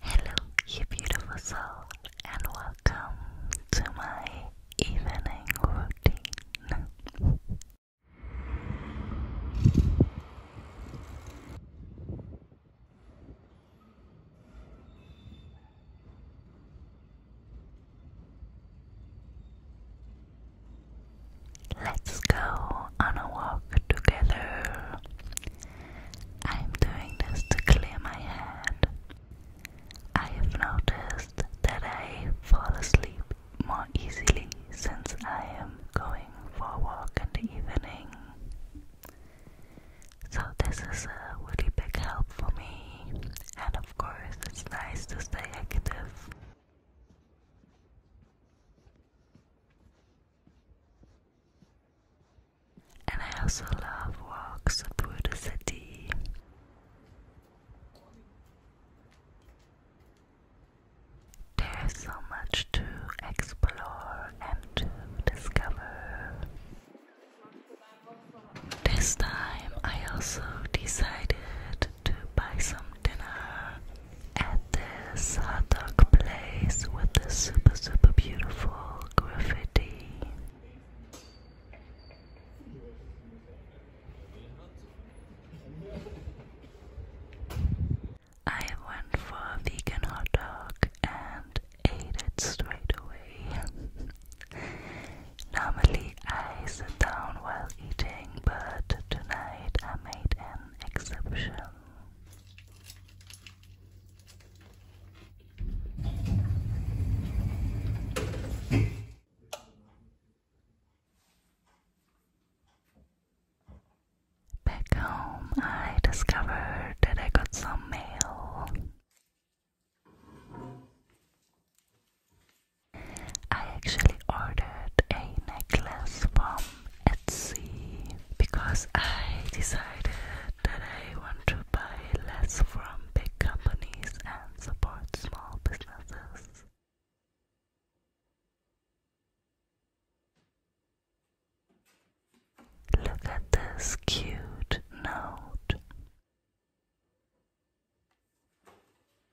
Hello, you beautiful soul, and welcome to my evening routine. Let's go on a walk together. I'm doing this to clear my head. I have noticed that I fall asleep more easily since I am going for a walk in the evening. So, this is a really big help for me, and of course, it's nice to stay active. And I also love walks through the city. There's so much to explore and to discover. This time I also decided to buy some dinner at this hot dog place with the super super beautiful graffiti. I went for a vegan hot dog and ate it straight away. Normally I sit down while eating, but tonight I made an exception. Back home, I discovered that I got some mail. I actually ordered a necklace from see. Because I decided that I want to buy less from big companies and support small businesses. Look at this cute note.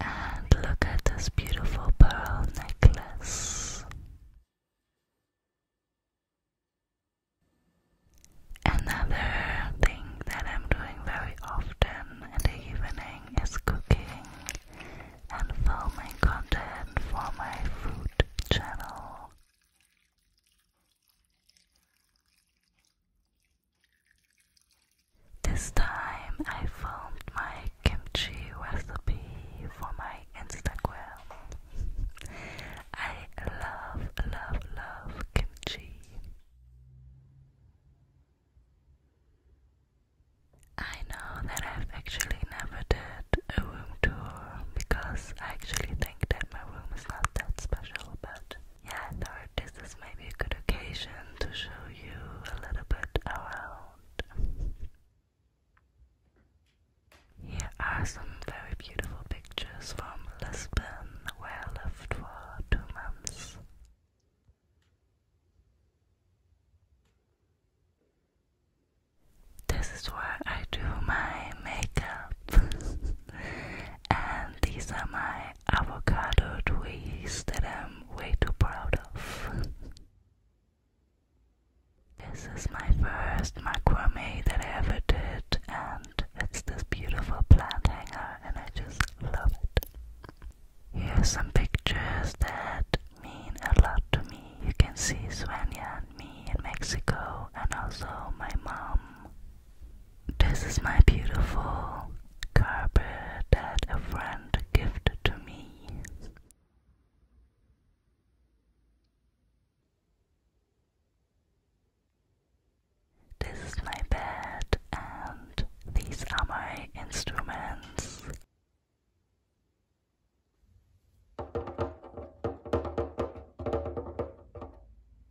And look at this beautiful pearl necklace. Another thing that I'm doing very often in the evening is cooking and filming content for my food channel. This time I filmed my kimchi recipe for my Instagram. I love, love, love kimchi. I know that I've actually never did a room tour because I actually think that my room is not that special, but yeah, I thought this is maybe a good occasion to show you a little bit around. Here are some very beautiful pictures from Lisbon, where I lived for two months. This is where I do my makeup, and these are my avocado twist that I'm way too proud of. this is my first macrame that I ever did, and it's this beautiful plant hanger, and I just love it. Here's some pictures that mean a lot to me. You can see Svenja and me in Mexico, and also my mom. This is my beautiful carpet that a friend gifted to me. This is my bed, and these are my instruments.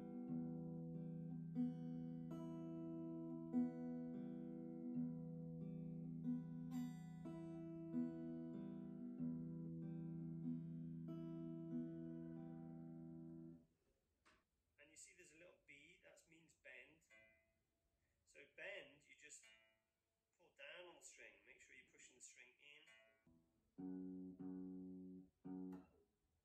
you see there's a little B, that means bend. So bend, you just pull down on the string, make sure you're pushing the string in.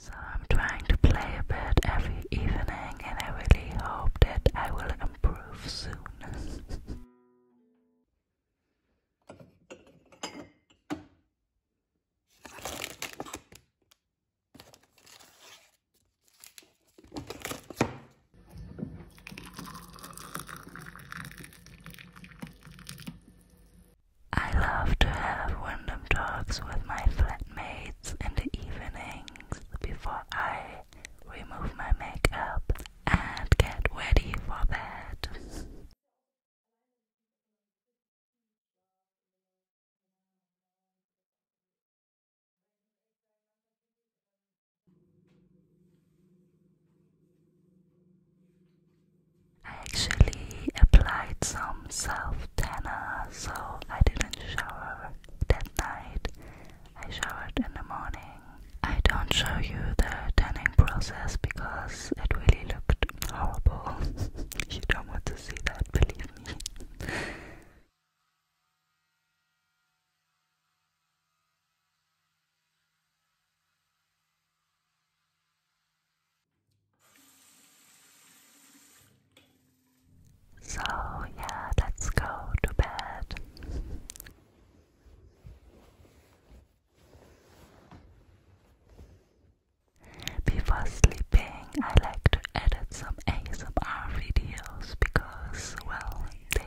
So I'm trying to play a bit every evening and I really hope that I will improve soon. I love to have random talks with my flatmates in the evenings before I remove my makeup and get ready for bed. I actually applied some self tanner, so I didn't shower that night. I showered in the morning. I don't show you the tanning process because it really looked horrible. you don't want to see that, believe me. So, yeah, let's go to bed. Before sleeping, I like to edit some ASMR videos because, well, they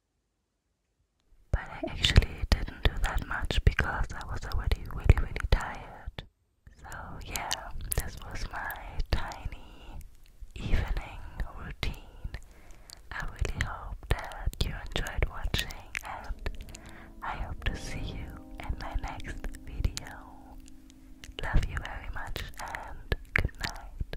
But I actually didn't do that much because I was already really, really tired. So, yeah, this was my tiny evening routine. I really hope that you enjoyed watching, and I hope to see you in my next video. Love you very much, and good night.